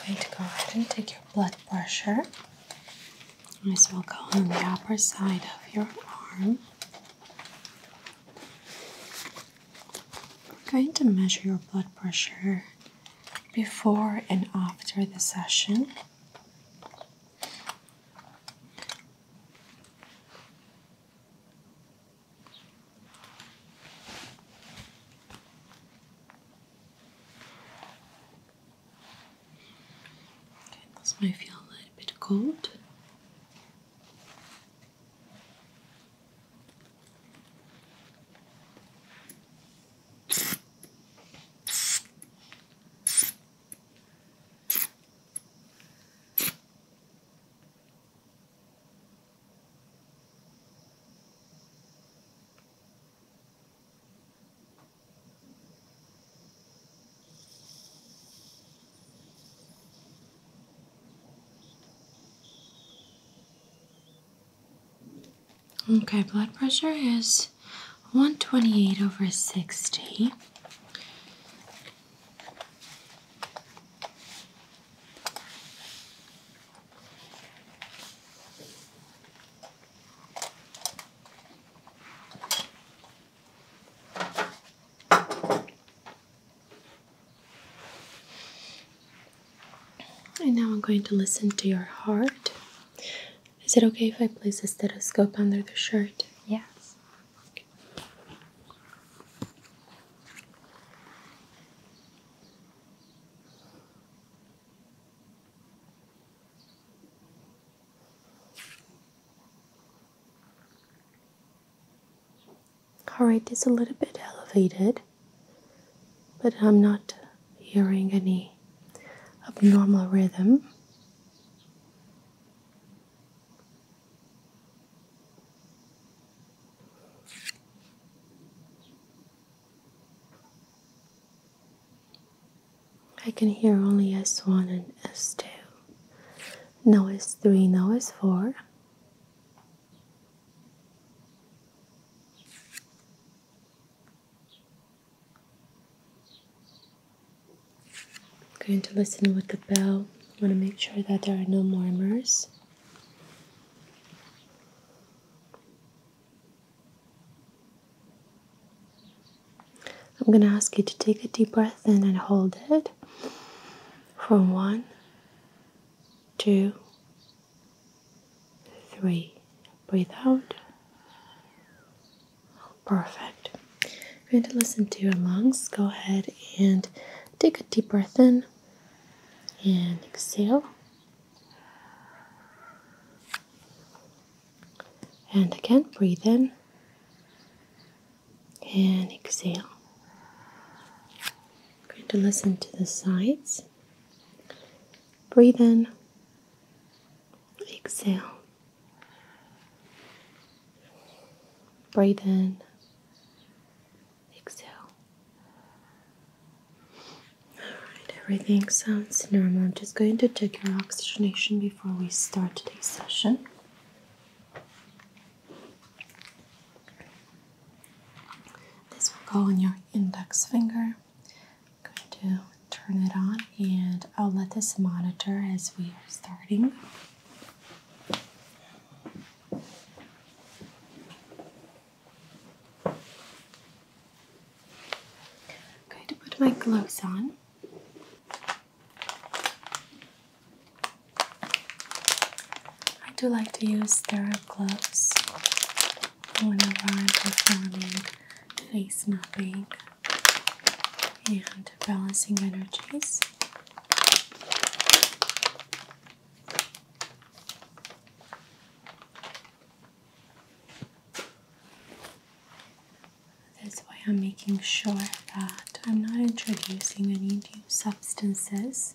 I'm going to go ahead and take your blood pressure. This will go on the upper side of your arm. We're going to measure your blood pressure before and after the session this may feel a little bit cold. Okay, blood pressure is 128 over 60. And now I'm going to listen to your heart. Is it okay if I place a stethoscope under the shirt? Yes. Alright, is a little bit elevated, but I'm not hearing any abnormal rhythm. I can hear only S1 and S2. No S3, no S4. I'm going to listen with the bell. I want to make sure that there are no murmurs. I'm going to ask you to take a deep breath in and hold it from one, two, three. Breathe out. Perfect. You're going to listen to your lungs. Go ahead and take a deep breath in and exhale. And again, breathe in and exhale. I'm going to listen to the sides. Breathe in, exhale. Breathe in, exhale. Alright, everything sounds normal. I'm just going to check your oxygenation before we start today's session. This will go on your index finger. I'm going to turn it on and I'll let this monitor as we are starting i going to put my gloves on. I do like to use sterile gloves whenever I'm performing face mapping and balancing energies. That's why I'm making sure that I'm not introducing any new substances.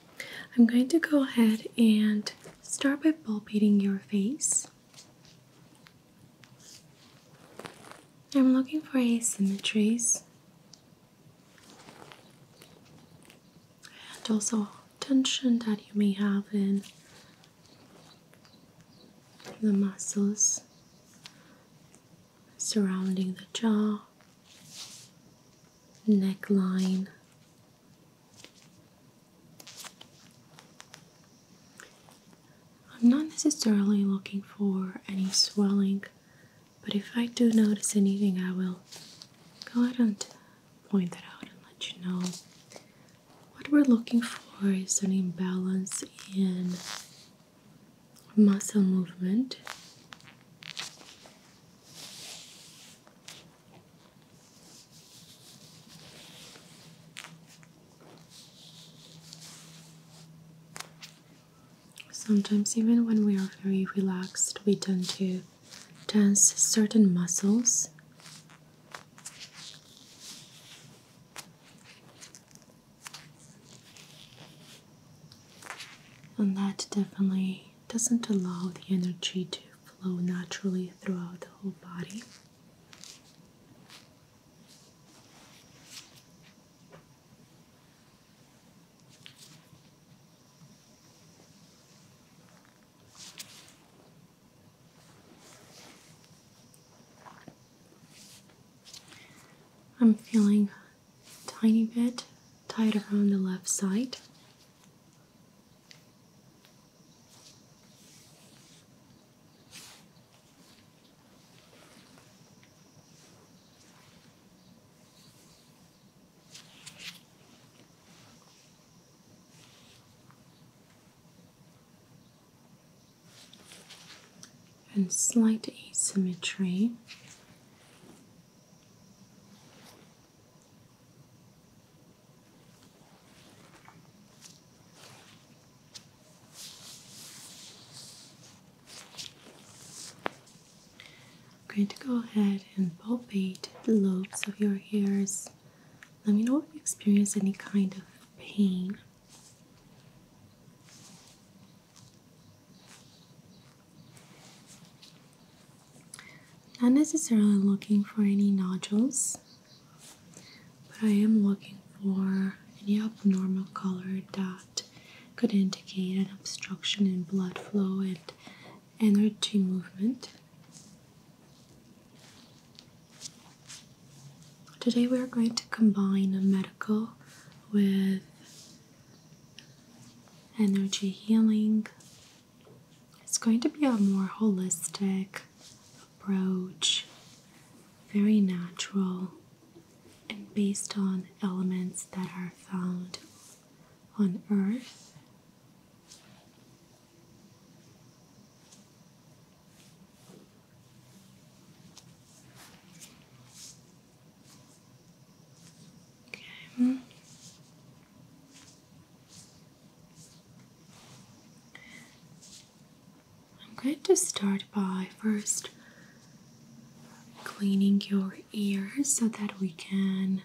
I'm going to go ahead and start by palpating your face. I'm looking for asymmetries and also tension that you may have in the muscles surrounding the jaw, neckline, I'm not necessarily looking for any swelling, but if I do notice anything, I will go ahead and point that out and let you know. What we're looking for is any imbalance in muscle movement. Sometimes, even when we are very relaxed, we tend to tense certain muscles. And that definitely doesn't allow the energy to flow naturally throughout the whole body. I'm feeling a tiny bit tighter on the left side and slight asymmetry I'm going to go ahead and palpate the lobes of your ears. Let me know if you experience any kind of pain. Not necessarily looking for any nodules, but I am looking for any abnormal color that could indicate an obstruction in blood flow and energy movement. Today we are going to combine a medical with energy healing it's going to be a more holistic approach, very natural, and based on elements that are found on Earth. Okay. I'm going to start by first cleaning your ears so that we can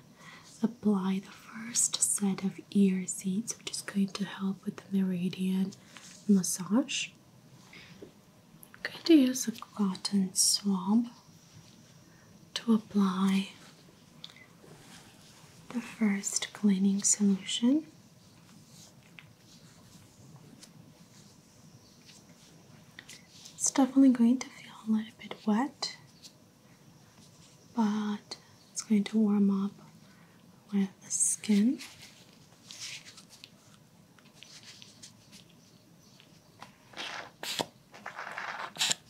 apply the first set of ear seeds, which is going to help with the meridian massage. I'm going to use a cotton swab to apply the first cleaning solution. It's definitely going to feel a little bit wet, but it's going to warm up with the skin.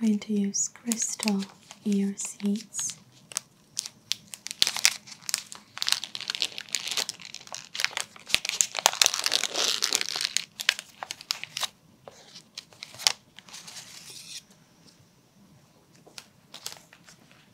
We're going to use crystal ear seeds.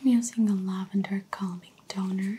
I'm using a lavender calming toner.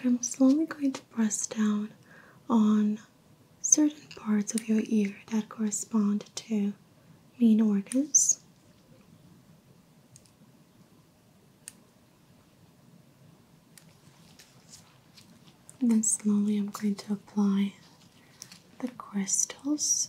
Okay, I'm slowly going to press down on certain parts of your ear that correspond to main organs. then slowly, I'm going to apply the crystals.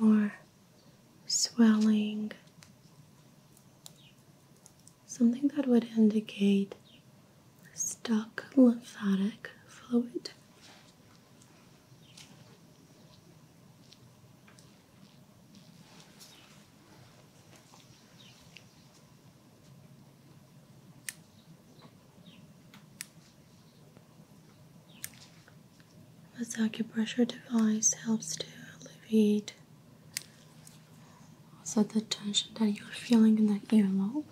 Looking for swelling, something that would indicate stuck lymphatic fluid. This acupressure device helps to alleviate also the tension that you're feeling in the earlobe.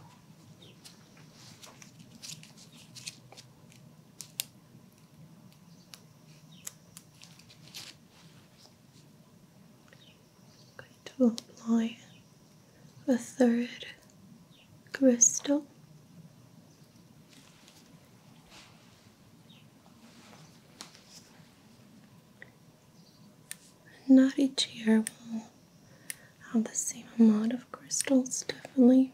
i going to apply a third crystal not each year will have the same amount of crystals, definitely.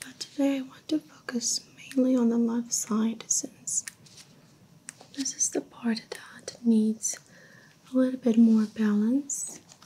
But today I want to focus mainly on the left side since this is the part that needs a little bit more balance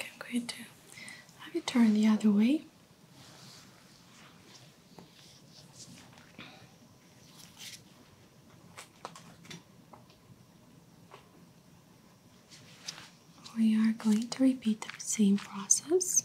I'm going to have you turn the other way. We are going to repeat the same process.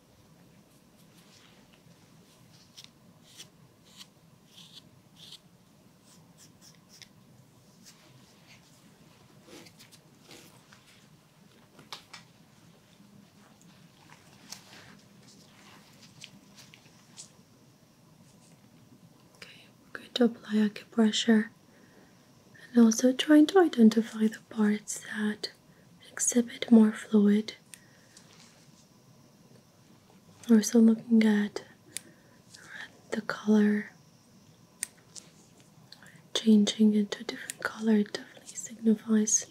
Okay, we're going to apply acupressure and also trying to identify the parts that exhibit more fluid at we're still looking at the color changing into a different color it definitely signifies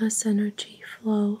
less energy flow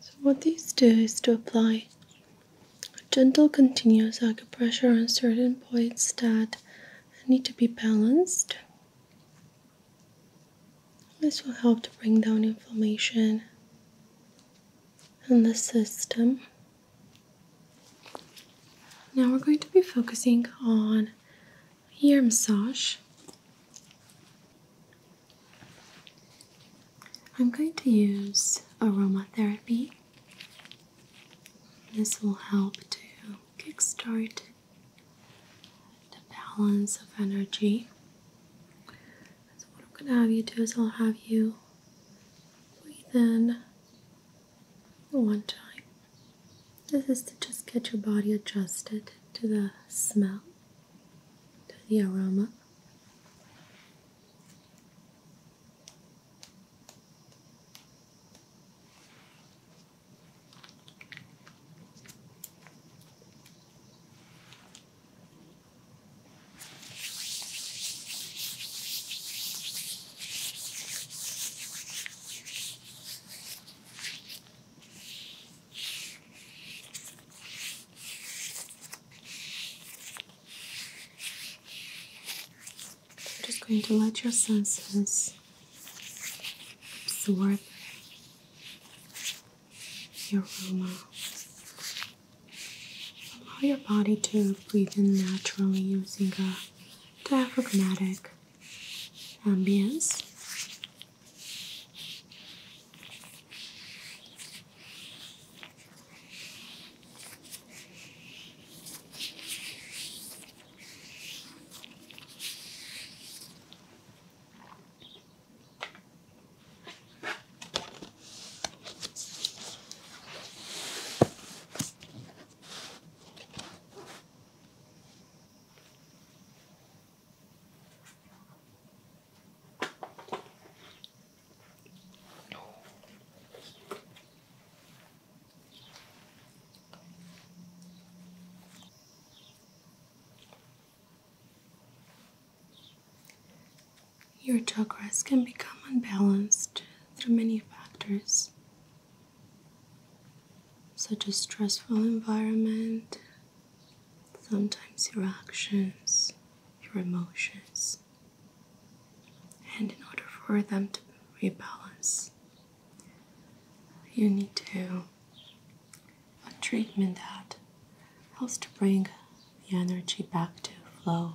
So, what these do is to apply a gentle, continuous acupressure on certain points that need to be balanced. This will help to bring down inflammation in the system. Now we're going to be focusing on ear massage. I'm going to use aromatherapy. This will help to kickstart the balance of energy. So, what I'm going to have you do is I'll have you breathe in one time. This is to just get your body adjusted to the smell, to the aroma. You're just going to let your senses absorb your aroma. Allow your body to breathe in naturally using a diaphragmatic ambience. Your chakras can become unbalanced through many factors, such a stressful environment, sometimes your actions, your emotions, and in order for them to rebalance, you need to a treatment that helps to bring the energy back to flow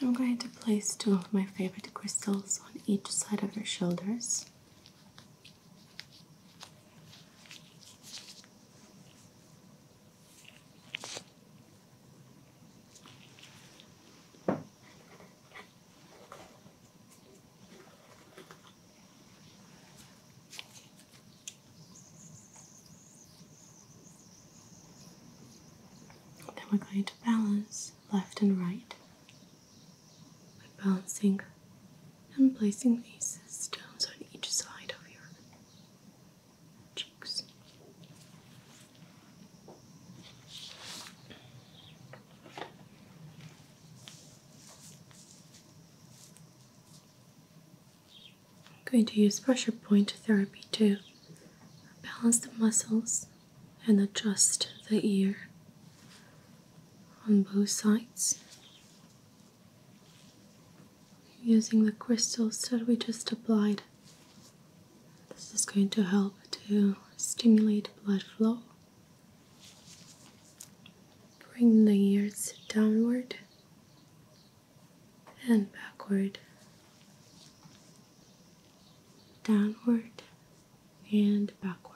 I'm going to place two of my favorite crystals on each side of your shoulders. Then we're going to balance left and right by balancing and placing these stones on each side of your cheeks. I'm going to use pressure point therapy to balance the muscles and adjust the ear on both sides using the crystals that we just applied. This is going to help to stimulate blood flow. Bring the ears downward and backward, downward and backward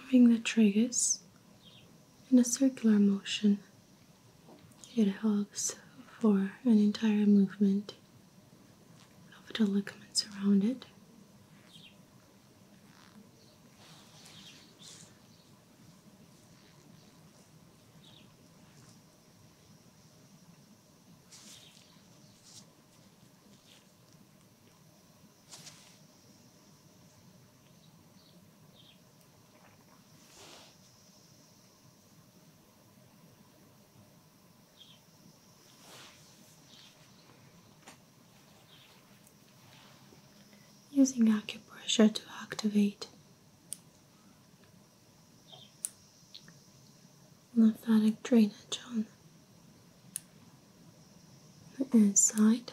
moving the triggers in a circular motion. It helps for an entire movement of the ligaments around it. Using acupressure to activate lymphatic drainage on inside.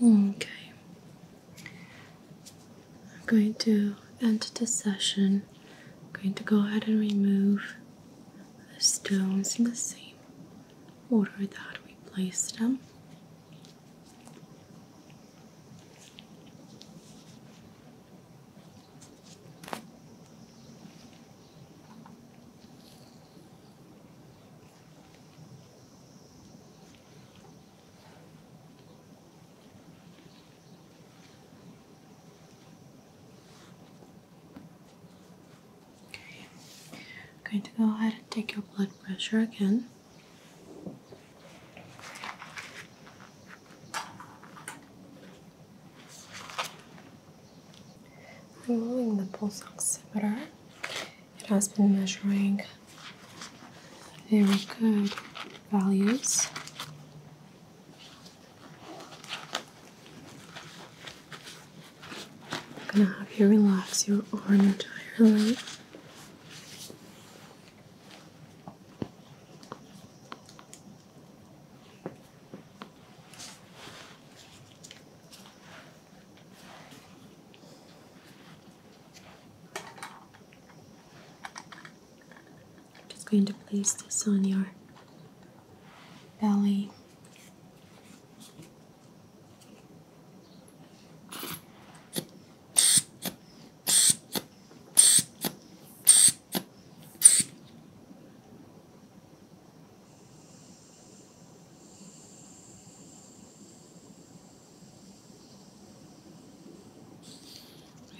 Okay. I'm going to end the session. I'm going to go ahead and remove the stones in the same order that we placed them. I'm going to go ahead and take your blood pressure again. I'm Removing the pulse oximeter, it has been measuring very good values. I'm gonna have you relax your arm entirely. I'm just going to place this on your belly.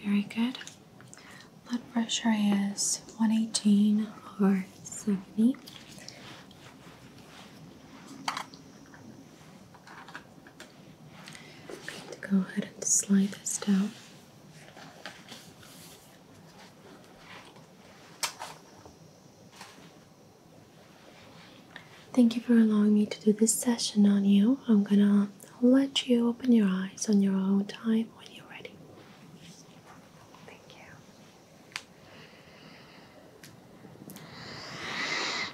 Very good. Blood pressure is 118 or 70. I'm going to go ahead and slide this down. Thank you for allowing me to do this session on you. I'm gonna let you open your eyes on your own time when you're ready. Thank you.